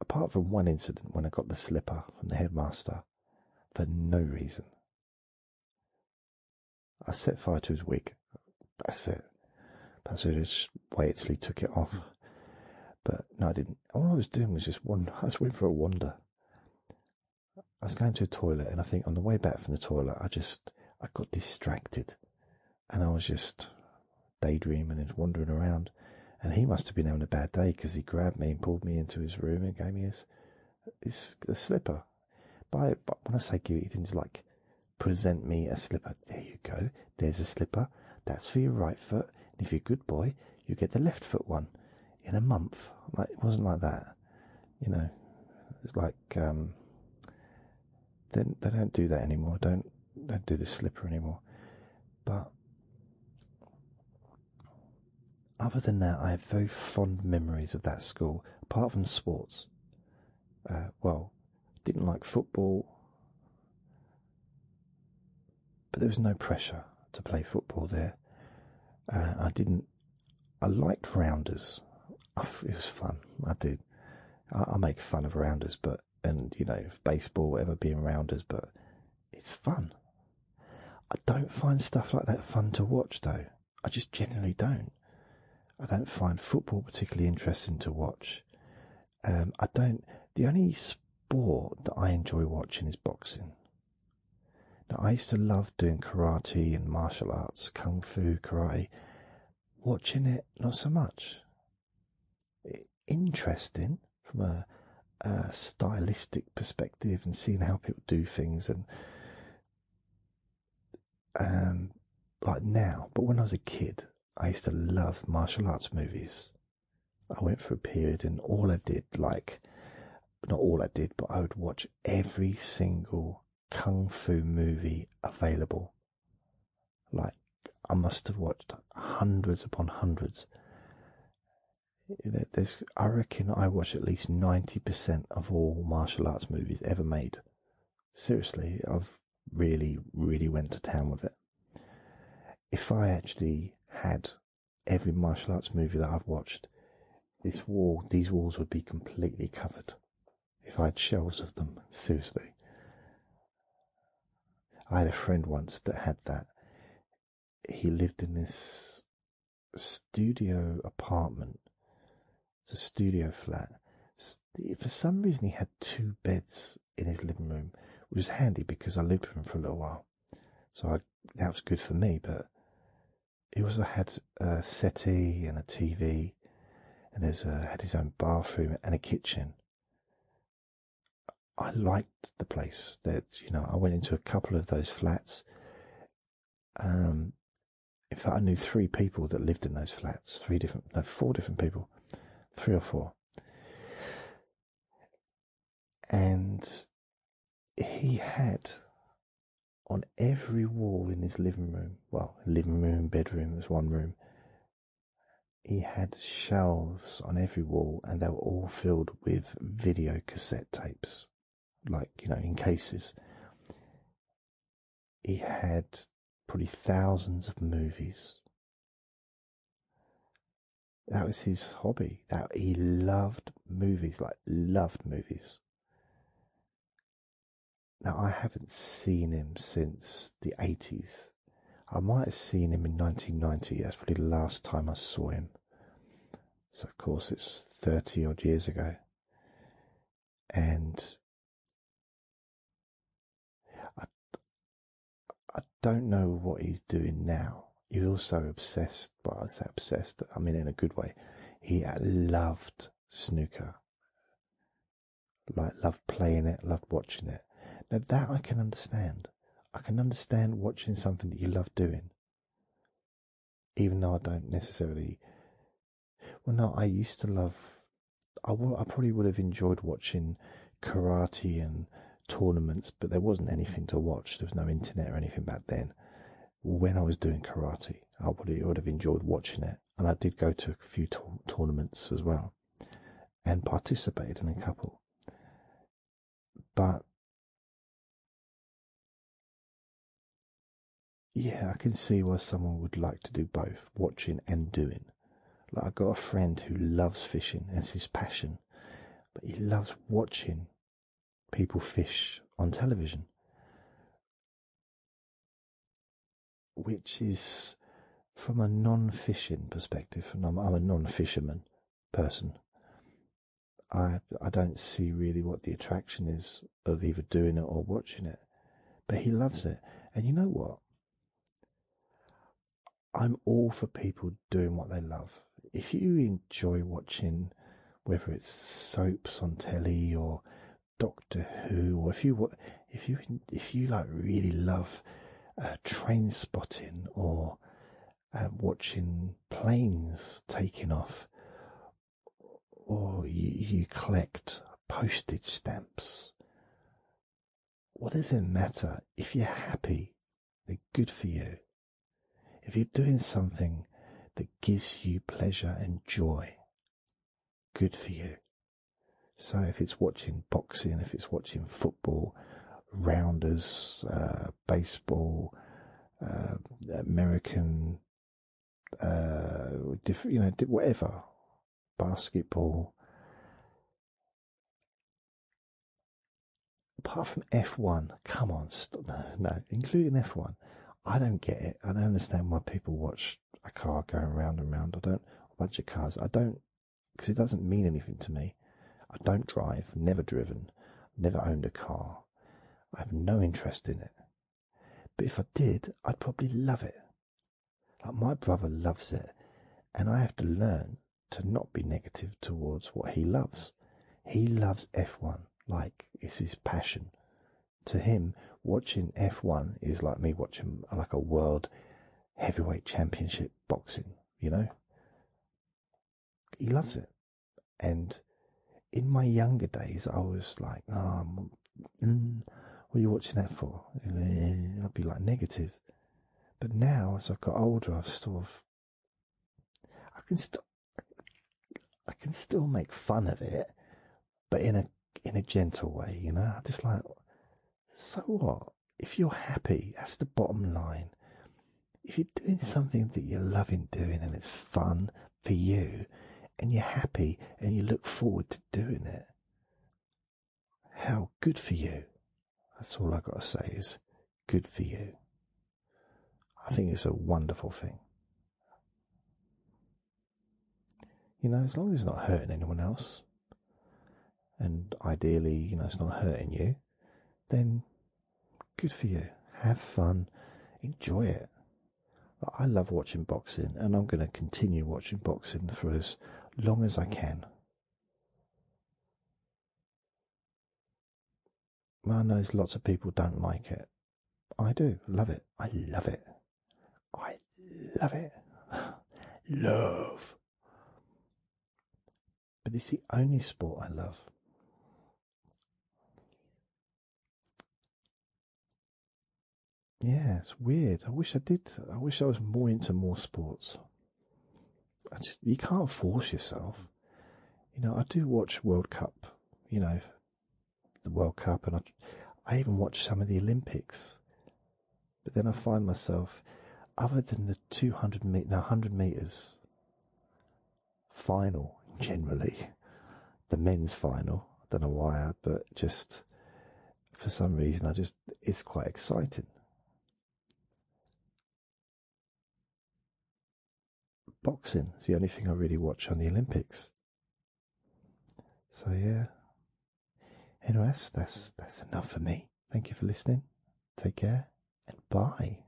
apart from one incident when I got the slipper from the headmaster, for no reason, I set fire to his wig. That's it. That's it. Just wait till he took it off. But no, I didn't. All I was doing was just one. I just went for a wonder. I was going to the toilet, and I think on the way back from the toilet, I just I got distracted, and I was just daydreaming and wandering around. And he must have been having a bad day because he grabbed me and pulled me into his room and gave me his it's a slipper. By, when I say give it, you did like present me a slipper. There you go. There's a slipper. That's for your right foot. And if you're a good boy, you get the left foot one in a month. Like it wasn't like that. You know, it's like, um, they, they don't do that anymore. Don't, don't do the slipper anymore. But other than that, I have very fond memories of that school, apart from sports. Uh, well, didn't like football, but there was no pressure to play football there. Uh, I didn't. I liked rounders. It was fun. I did. I, I make fun of rounders, but and you know baseball, whatever, being rounders, but it's fun. I don't find stuff like that fun to watch though. I just generally don't. I don't find football particularly interesting to watch. Um, I don't, the only sport that I enjoy watching is boxing. Now I used to love doing karate and martial arts, kung fu, karate. Watching it, not so much. interesting from a, a stylistic perspective and seeing how people do things and um, like now, but when I was a kid, I used to love martial arts movies. I went for a period and all I did, like, not all I did, but I would watch every single kung fu movie available. Like, I must have watched hundreds upon hundreds. There's, I reckon I watch at least 90% of all martial arts movies ever made. Seriously, I've really, really went to town with it. If I actually had every martial arts movie that I've watched, this wall, these walls would be completely covered. If I had shelves of them, seriously. I had a friend once that had that. He lived in this studio apartment, a studio flat. For some reason, he had two beds in his living room, which was handy because I lived with him for a little while. So that was good for me, but he also had a settee and a TV, and there's a, had his own bathroom and a kitchen. I liked the place that, you know, I went into a couple of those flats. Um, in fact, I knew three people that lived in those flats, three different, no, four different people, three or four. And he had on every wall in his living room, well, living room, bedroom, was one room, he had shelves on every wall and they were all filled with video cassette tapes like, you know, in cases. He had probably thousands of movies. That was his hobby. That he loved movies, like loved movies. Now I haven't seen him since the eighties. I might have seen him in 1990. That's probably the last time I saw him. So of course it's 30 odd years ago and I, I don't know what he's doing now. He's also obsessed, but I say obsessed, I mean in a good way. He uh, loved snooker. Like, loved playing it, loved watching it. Now that I can understand. I can understand watching something that you love doing even though I don't necessarily. Well, no, I used to love. I probably would have enjoyed watching karate and tournaments, but there wasn't anything to watch. There was no internet or anything back then. When I was doing karate, I would have, would have enjoyed watching it, and I did go to a few tournaments as well, and participated in a couple. But yeah, I can see why someone would like to do both watching and doing. Like, I've got a friend who loves fishing, that's his passion, but he loves watching people fish on television, which is from a non fishing perspective, and I'm, I'm a non fisherman person, I I don't see really what the attraction is of either doing it or watching it. But he loves it. And you know what? I'm all for people doing what they love. If you enjoy watching, whether it's soaps on telly or Doctor Who, or if you if you if you like really love uh, train spotting or uh, watching planes taking off, or you, collect postage stamps. What does it matter? If you're happy, they're good for you. If you're doing something that gives you pleasure and joy, good for you. So if it's watching boxing, if it's watching football, rounders, uh, baseball, uh, American uh, you know, whatever, basketball. Apart from F1, come on, no, no, including F1. I don't get it. I don't understand why people watch a car going round and round. I don't, a bunch of cars. I don't, because it doesn't mean anything to me. I don't drive, never driven, never owned a car. I have no interest in it. But if I did, I'd probably love it. Like my brother loves it, and I have to learn to not be negative towards what he loves. He loves F1 like it's his passion. To him, watching F1 is like me watching like a world heavyweight championship boxing, you know? He loves it. And in my younger days, I was like, ah, mm, what are you watching that for? I'd be like negative. But now, as I've got older, I've sort of, I can still, I can still make fun of it, but in a, in a gentle way, you know, just like, so what? If you're happy, that's the bottom line. If you're doing something that you're loving doing and it's fun, for you and you're happy and you look forward to doing it. How good for you. That's all I got to say is good for you. I think it's a wonderful thing. You know, as long as it's not hurting anyone else, and ideally, you know, it's not hurting you, then good for you. Have fun, enjoy it, I love watching boxing and I'm going to continue watching boxing for as long as I can. I know lots of people don't like it. I do. Love it. I love it. I love it. love. But it's the only sport I love. Yeah, it's weird. I wish I did. I wish I was more into more sports. I just you can't force yourself. You know, I do watch World Cup. You know, the World Cup, and I, I even watch some of the Olympics. But then I find myself, other than the two hundred meter, no, hundred meters, final generally, the men's final. I don't know why, but just for some reason, I just it's quite exciting. Boxing is the only thing I really watch on the Olympics. So yeah. Anyway, that's that's, that's enough for me. Thank you for listening. Take care and bye.